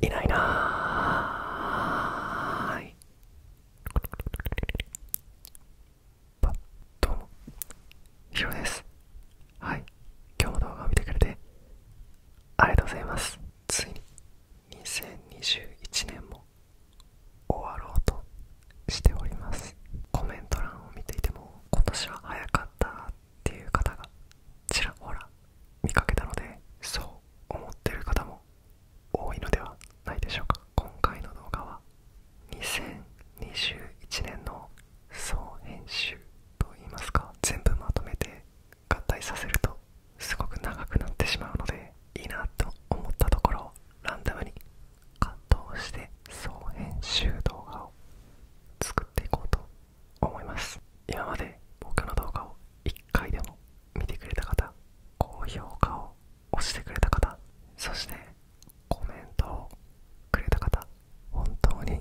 いないなーい。どうもひろですはい今日も動画を見てくれてありがとうございますついに2021年も終わろうとしておりますコメント欄を見ていても今年は早かったっていう方がちらほら見かけたのでそう思ってる方も多いのではないでしょうか今回の動画は2021年の総編集といいますか全部まとめて合体させるとすごく長くなってしまうのでいいなと思ったところをランダムに葛藤して総編集動画を作っていこうと思います今まで僕の動画を1回でも見てくれた方高評価を押してくれた方そしてコメントをくれた方本当に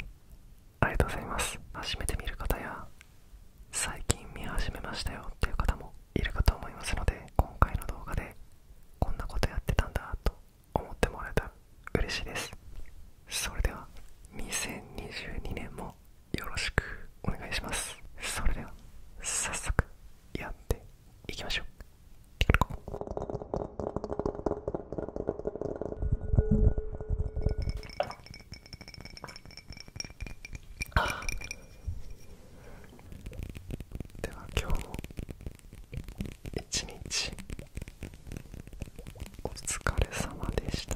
ありがとうございます初めて見る方や最近見始めましたよっていう方もいるかと思いますので今回の動画でこんなことやってたんだと思ってもらえたら嬉しいですそれでは2022年もよろしくお願いしますそれでは早速やって行きましょう。あでは今日も一日お疲れ様でした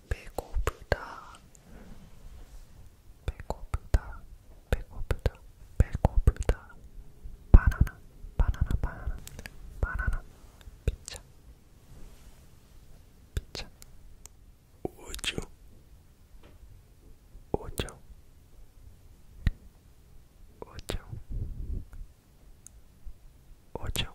배고프다 배고프다 배고프다 배고프다 바나나 바나나 바나나 바나나 피자 피자 오죠 오죠 오죠 오죠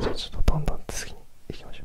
じゃあちょっとどんどん次に行きましょう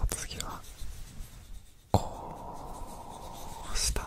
お次はこうした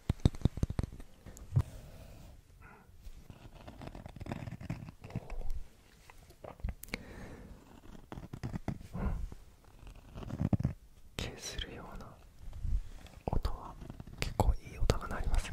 うん。するような音は結構いい音が鳴ります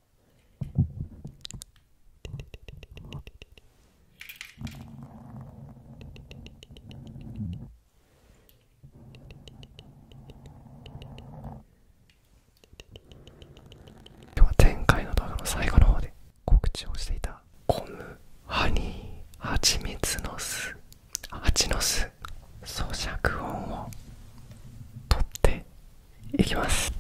今日は前回の動画の最後の方で告知をしていたゴムハニーハチミツの巣ハチの巣咀嚼音を取っていきます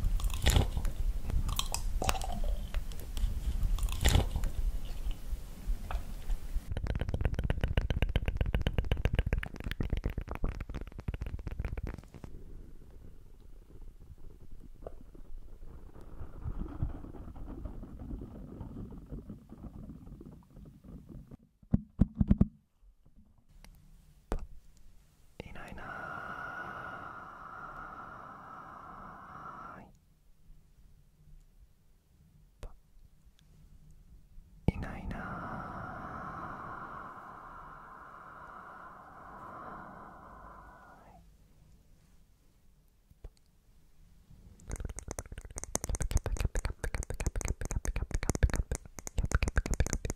いないないないな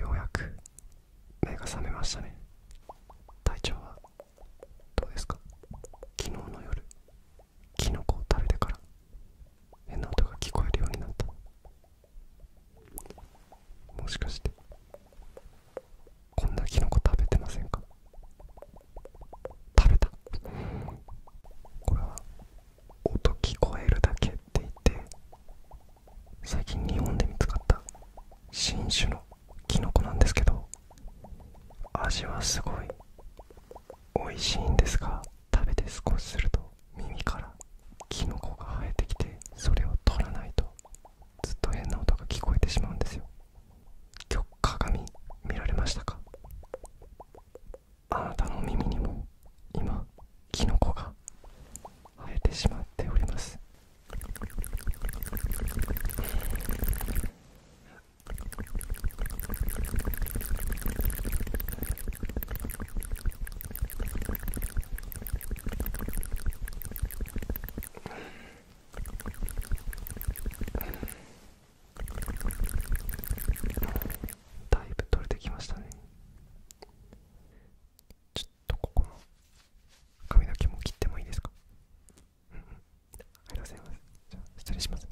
ようやく目が覚めましたね体調はどうですか昨日の夜キノコを食べてから変な音が聞こえるようになったもしかしてこんなキノコ食べてませんか食べたこれは音聞こえるだけって言って最近日本で見つかった新種のキノコなんですけど味はすごい美味しいんですが食べて少しすると耳からキノコが生えてきてそれを取らないとずっと変な音が聞こえてしまうんですよ今日鏡見られましたかあなたの耳にも今キノコが生えてしまっておりますだいぶ取れてきましたね。ちょっとここの髪の毛も切ってもいいですかうんうんありがとうごじゃあ失礼します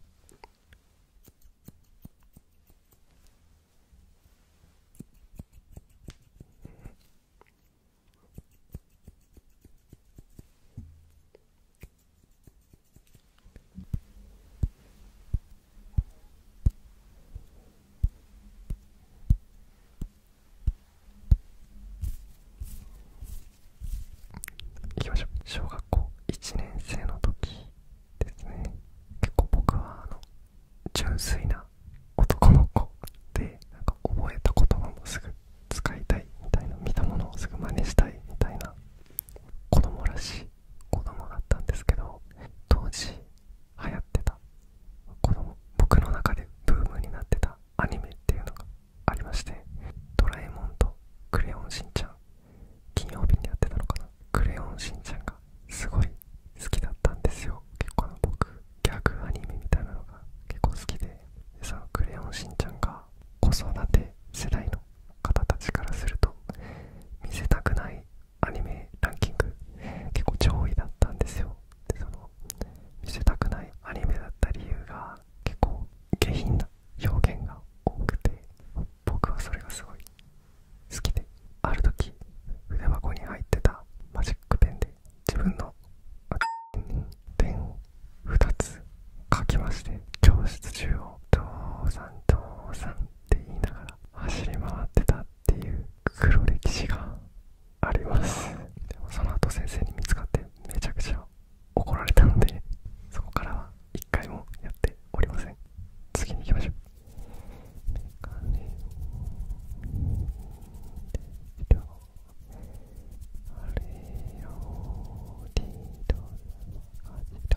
いしょ小学校1年生の時ですね結構僕はあの純粋な男の子でなんか覚えた言葉もすぐ使いたいみたいな見たものをすぐ真似したいみたいな子供らしい子供だったんですけど当時流行ってたこの僕の中でブームになってたアニメっていうのがありまして「ドラえもん」と「クレヨンしんちゃん」金曜日にやってたのかなクレヨンしんちゃんがすごい好きだったんですよ結構あの僕ギャグアニメみたいなのが結構好きでそのクレヨンしんちゃんが子育て世代の方たちからすると見せたくないアニメランキング結構上位だったんですよでその見せたくないアニメだった理由が結構下品な表現が多くて僕はそれがすごい好きである時筆箱に入ってたマジックペンで自分の点を2つ書きまして教室中を「父さん父さん」って言いながら走り回ってたっていう黒歴史がありますその後先生に見つかってめちゃくちゃ怒られたのでそこからは一回もやっておりません次に行きましょうメガを見てよあれよりどあ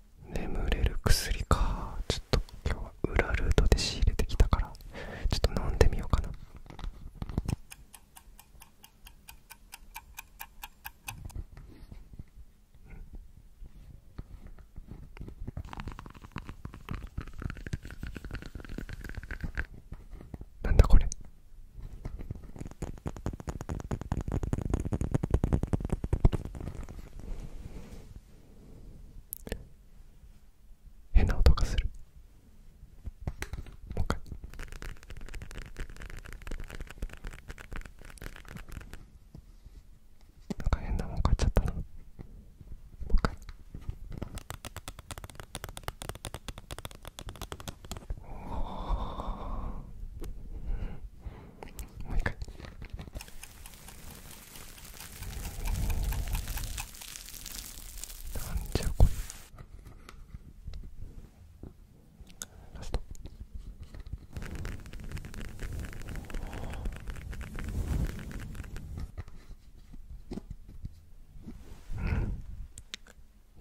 眠れる薬かちょっと今日は裏ルートで仕入れてきたからちょっと飲んでみようかななんだこれ変な音がするもう一回なんか変なもん買っちゃったなもう一回もう一回なじゃこれラストう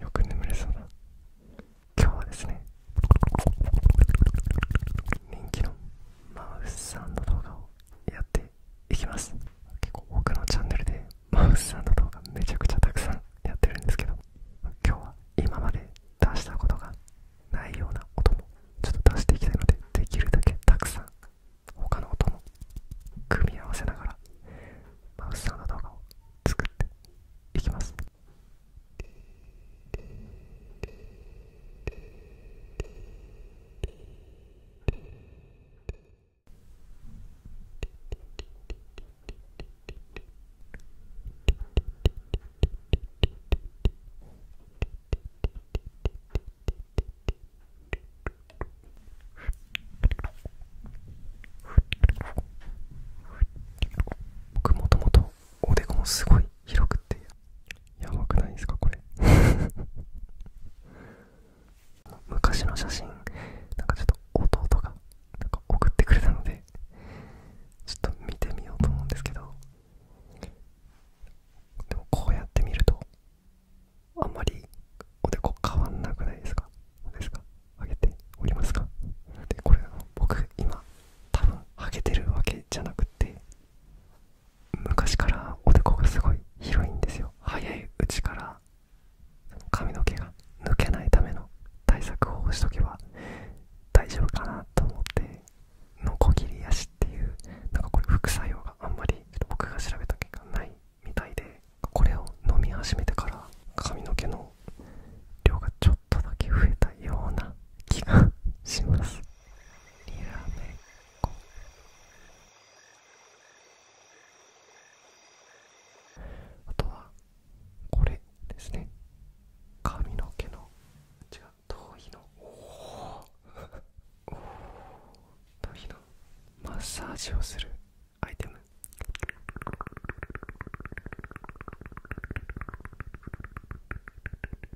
んよく眠れそうだ今日はですね人気のマウスさんの動画をやっていきます結構他のチャンネルでマウスさんの動画めちゃくちゃたくさんやってるんですけど今日は今まで出したことがないような音もちょっと出していきたいのでできるだけたくさん他の音も組み合わせながらマウスさんの動画を作っていきます僕もともとおでこもすごい広くてやばくないですかこれ 昔の写真なんかちょっと弟がなんか送ってくれたのでちょっと見てみようと思うんですけどでもこうやって見るとあんまりおでこ変わんなくないですかですか上げておりますかでこれ僕今多分ハゲてるわけじゃなくて昔からおでこがすごい広いんですよ早いうちから髪の毛が抜けないための対策をしとけば大丈夫かなと思ってノコギリヤシっていうなんかこれ副作用があんまり僕が調べた結果ないみたいでこれを飲み始めてから髪の毛の量がちょっとだけ増えたような気がしますリラメあとはこれですね髪の毛の違う頭皮のおお頭皮のマッサージをするアイテム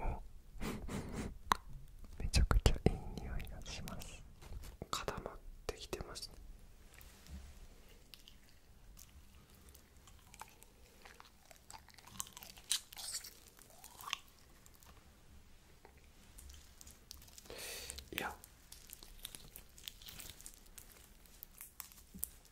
お めちゃくちゃいい匂いがします固まってきてますねいや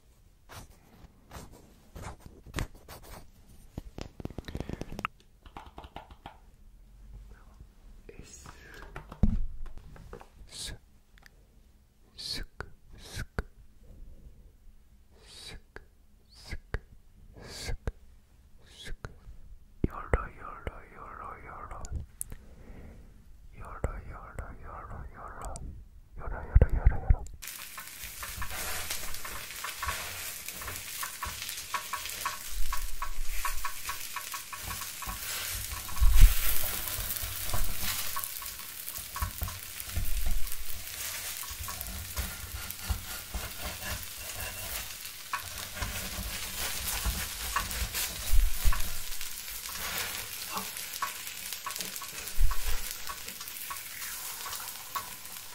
S sık sık sık sık sık sık yorla yorla yorla yorla yorla yorla yorla yorla よろよろよろよろ。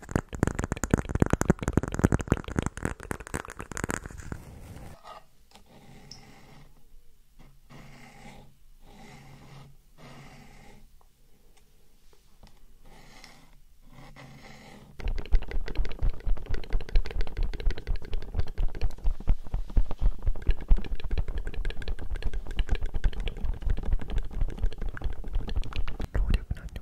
労力なんて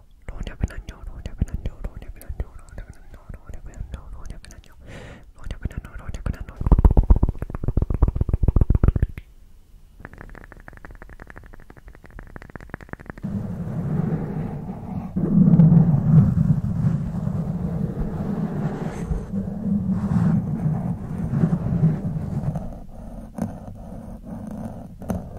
尿老若男女老若男女老若男女老若男女老若男女老若男女老若男女老若男女老